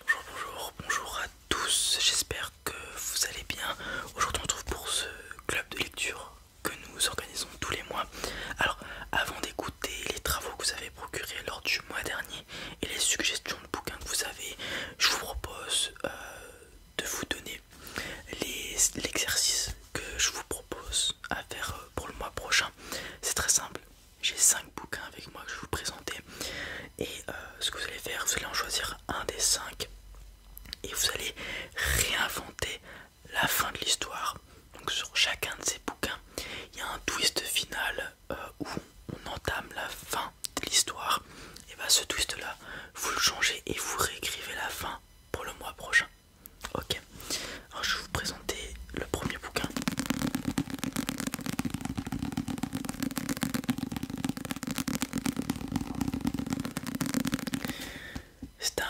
Bonjour, bonjour, bonjour à tous, j'espère que vous allez bien. Aujourd'hui on se retrouve pour ce club de lecture que nous organisons tous les mois. Alors avant d'écouter les travaux que vous avez procurés lors du mois dernier et les suggestions de bouquins que vous avez, je vous propose euh, de vous donner l'exercice que je vous propose à faire euh, pour le mois prochain. C'est très simple, j'ai 5 bouquins avec moi que je vais vous présenter. Et euh, ce que vous allez faire, vous allez en choisir un des 5 et vous allez réinventer la fin de l'histoire. Donc sur chacun de ces bouquins, il y a un twist final euh, où on entame la fin de l'histoire. Et bah ce twist là, vous le changez et vous réécrivez la fin pour le mois prochain. Ok. Alors je vais vous présenter le premier bouquin. C'est un,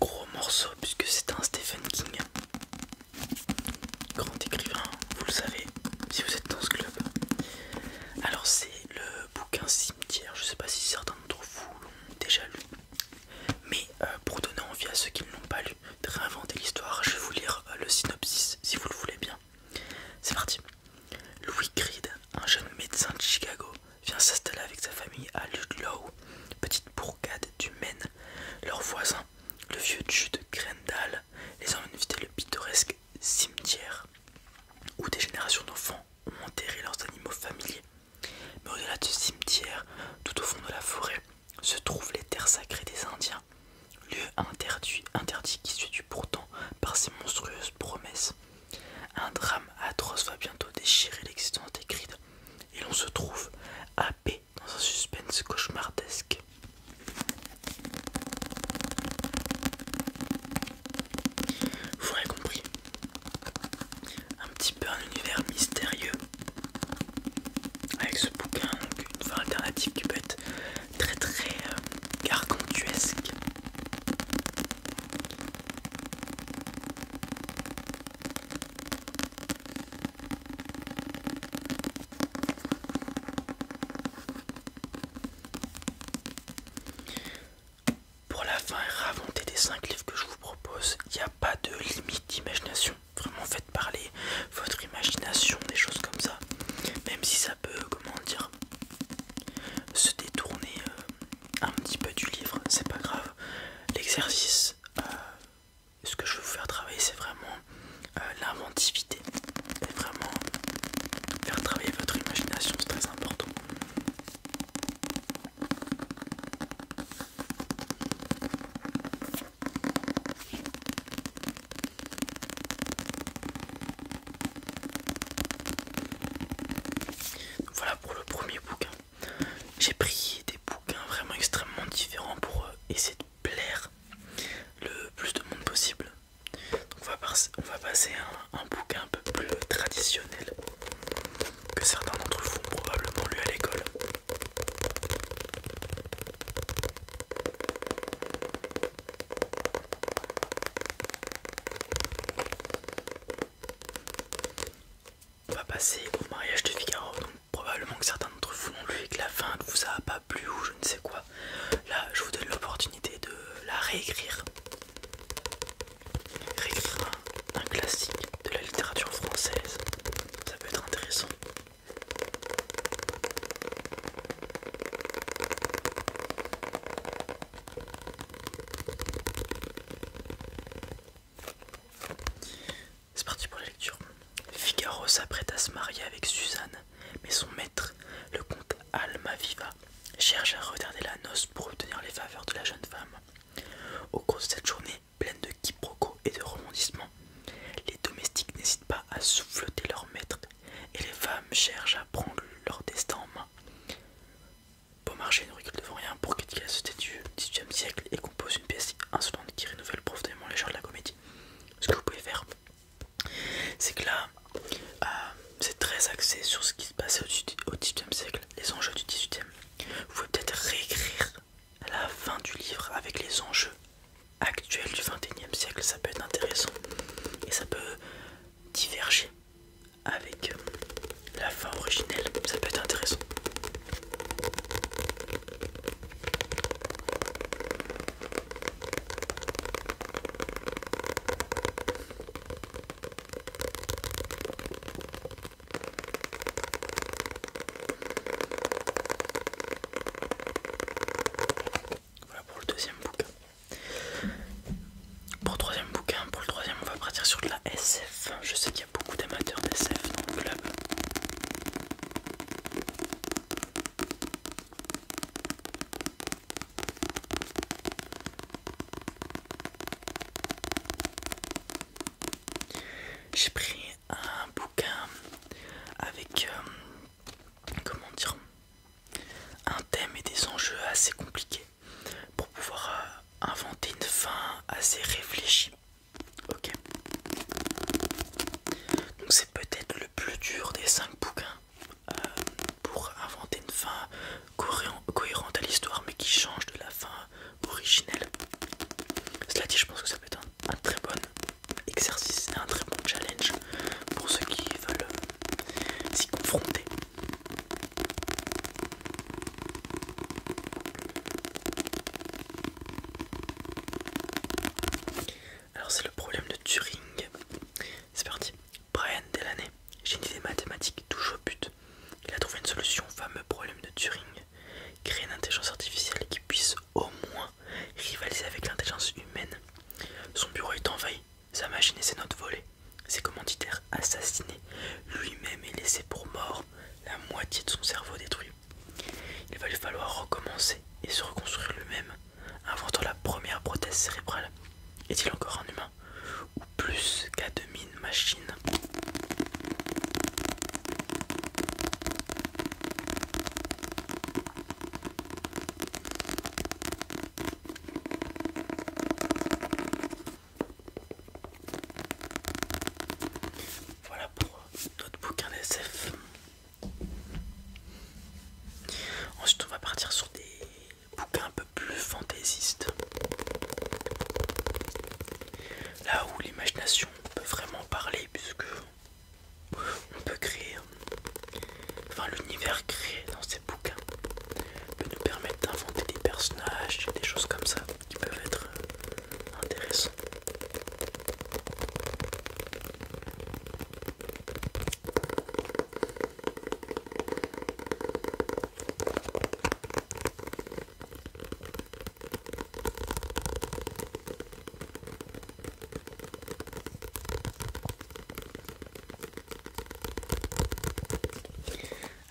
gros morceau puisque c'est un Stephen King, grand écrivain, vous le savez si vous êtes dans ce club. Alors c'est le bouquin Cimetière, je sais pas si certains d'entre vous l'ont déjà lu, mais euh, pour donner envie à ceux qui ne l'ont pas lu de réinventer l'histoire, je vais vous lire euh, le synopsis si vous le voulez bien. C'est parti. Louis Creed, un jeune médecin de Chicago, vient s'installer avec sa famille à Ludlow, petite bourgade du Maine. Leur voisin, le vieux Jude Grendal, les emmène visiter le pittoresque cimetière où des générations d'enfants ont enterré leurs animaux familiers. Mais au-delà de ce cimetière, tout au fond de la forêt, se trouvent les terres sacrées des Indiens, lieu interdit, interdit qui se tue pourtant par ses monstrueuses promesses. Un drame atroce va bientôt déchirer l'existence des et l'on se trouve à paix dans un suspense cauchemardesque. Vous aurez compris, un petit peu un univers mystérieux avec ce bouquin, donc une fin alternative qui peut être très très euh, gargantuesque. Pour la fin et des cinq livres que je vous propose, il n'y a pas de limite d'imagination. Vraiment faites parler votre imagination, des choses comme ça. Même si ça peut, comment dire, se détourner euh, un petit peu du livre, c'est pas grave. L'exercice, euh, ce que je veux vous faire travailler, c'est vraiment euh, l'inventivité. Et vraiment faire travailler votre imagination, c'est très important. Voilà pour le premier bouquin. J'ai pris des bouquins vraiment extrêmement différents pour euh, essayer de plaire le plus de monde possible. on va, passer un, bouquin un peu plus traditionnel que certains d'entre vous ont probablement lu à l'école. On va passer au mariage de Figaro. Donc, probablement que certains d'entre vous l'ont lu et que la fin ne vous a pas plu ou je ne sais quoi. Là, je vous donne l'opportunité de la réécrire. Réécrire un classique de la littérature française. Ça peut être intéressant. C'est parti pour la lecture. Figaro s'apprête à se marier avec Suzanne, mais son maître, le comte Almaviva, cherche à retarder la noce pour obtenir les faveurs de la jeune femme. Au cours de cette journée pleine de quiproquos, et de rebondissement Les domestiques n'hésitent pas à souffleter leur maître et les femmes cherchent à prendre leur destin en main. Beaumarchais ne recule devant rien pour critiquer la société du XVIIIe siècle et compose une pièce insolente qui renouvelle profondément les genres de la comédie. Ce que vous pouvez faire, c'est que là, euh, c'est très axé sur ce qui se passait au XVIIIe siècle, les enjeux du XVIIIe. Vous pouvez peut-être réécrire la fin du livre avec les enjeux actuelle du XXIe siècle, ça peut être intéressant et ça peut diverger avec euh, la fin originelle, ça peut être intéressant. Voilà pour le deuxième bouquin. Pour le troisième bouquin, pour le troisième, on va partir sur de la SF. Je sais qu'il y a beaucoup d'amateurs d'SF dans le club. J'ai pris un bouquin avec euh, comment dire un thème et des enjeux assez compliqués pour pouvoir euh, inventer une fin assez réfléchie. Ok. Donc c'est peut-être le plus dur des 5 bouquins euh, pour inventer une fin cohérente à l'histoire mais qui change de la fin originelle. Cela dit je pense que ça peut être un très bon exercice c'est un très bon challenge pour ceux qui veulent s'y confronter. Alors c'est le problème de Turing. C'est parti. Brian Delaney, génie des mathématiques, touche au but. Il a trouvé une solution au fameux problème de Turing. Créer une intelligence artificielle qui puisse au moins rivaliser avec l'intelligence humaine. Son bureau est envahi, sa machine et ses notes volées, ses commanditaires assassinés, lui-même est laissé pour mort, la moitié de son cerveau détruit. Il va lui falloir recommencer et se reconstruire lui-même, inventant la première prothèse cérébrale. Est-il encore un humain Ou plus qu'à demi-machine voilà pour notre bouquin SF Ensuite, on va partir sur des bouquins un peu plus fantaisistes. Là où l'imagination peut vraiment parler, puisque on peut créer, euh, enfin l'univers créé dans ces bouquins peut nous permettre d'inventer des personnages, des choses comme ça qui peuvent être euh, intéressants.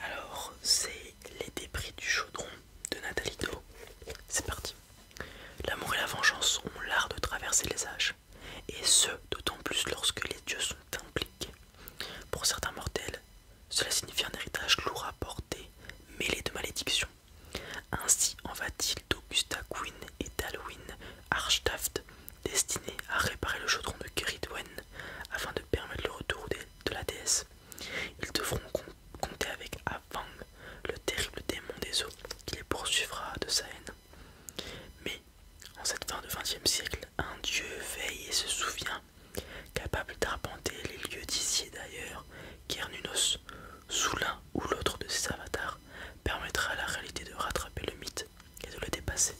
Alors, c'est les débris du chaudron de Nathalie C'est parti. L'amour et la vengeance ont l'art de traverser les âges, et ce d'autant plus lorsque les dieux sont impliqués. Pour certains mortels, cela signifie un héritage lourd à porter, mêlé de malédictions ainsi en va-t-il d'Augusta Quinn et d'Alwyn Archtaft, destinés à réparer le chaudron de Keridwen afin de permettre le retour de la déesse. Ils devront compter avec Avang, le terrible démon des eaux, qui les poursuivra de sa haine. Mais, en cette fin de XXe siècle, un dieu veille et se souvient, capable d'arpenter les lieux d'ici et d'ailleurs, Kernunos, Soulin, ou l'autre de ces avatars permettra à la réalité de rattraper le mythe et de le dépasser.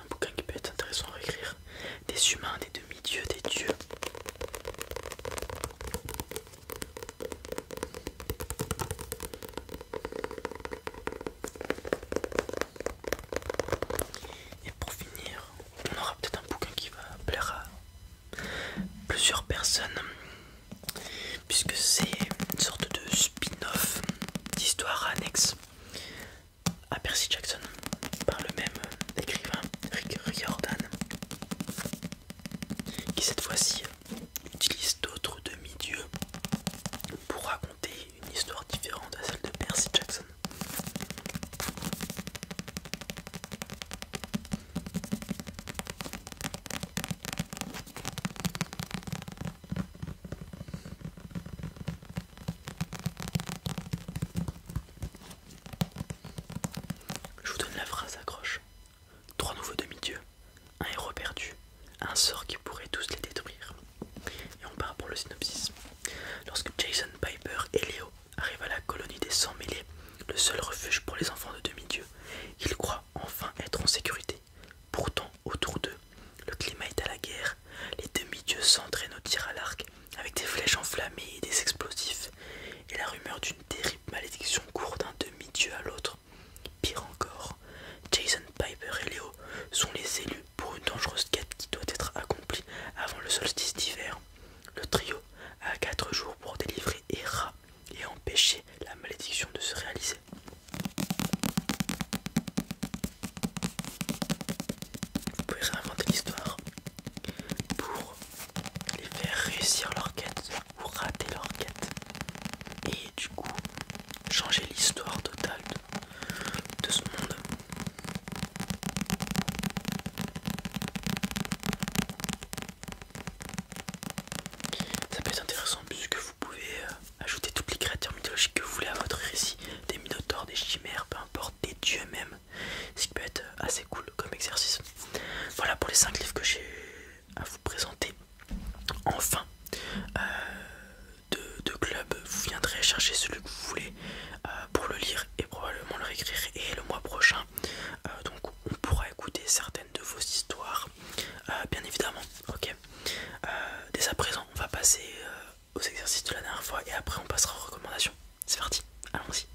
Un bouquin qui peut être intéressant à écrire des humains, des demi-dieux, des dieux. Et pour finir, on aura peut-être un bouquin qui va plaire à plusieurs personnes, puisque c'est une sorte de spin-off d'histoire annexe à Percy Jackson par le même écrivain Rick Riordan qui cette fois-ci utilise d'autres demi-dieux pour raconter une histoire différente à celle de Percy Jackson. Je vous donne la phrase accroche. Trois nouveaux demi-dieux, un héros perdu, un sort qui pourrait tous les détruire. Et on part pour le synopsis. Lorsque Jason Piper et Léo arrivent à la colonie des 100 mêlés, le seul refuge pour les enfants de demi dieux ils croient enfin être en sécurité. Pourtant, autour d'eux, le climat est à la guerre. Les demi-dieux s'entraînent au tir à l'arc avec des flèches enflammées et des explosifs. Et la rumeur du terrible malédiction court d'un demi-dieu à l'autre. Pire encore, Jason Piper et Leo sont les élus pour une dangereuse quête qui doit être accomplie avant le solstice d'hiver. Le trio a quatre jours pour délivrer Hera et empêcher la malédiction de se réaliser. Vous pouvez réinventer l'histoire pour les faire réussir leur quête ou rater leur quête et du coup changer l'histoire totale de, de ce monde. Ça peut être intéressant puisque vous pouvez euh, ajouter toutes les créatures mythologiques que vous voulez à votre récit, des minotaures, des chimères, peu importe, des dieux même, ce qui peut être euh, assez cool comme exercice. Voilà pour les 5 livres que j'ai à vous présenter. Enfin, euh, de, club, vous viendrez chercher celui que vous voulez euh, pour le lire et probablement le réécrire. Et le mois prochain, euh, donc on pourra écouter certaines de vos histoires, bien évidemment. Ok. dès à présent, on va passer aux exercices de la dernière fois et après on passera aux recommandations. C'est parti, allons-y.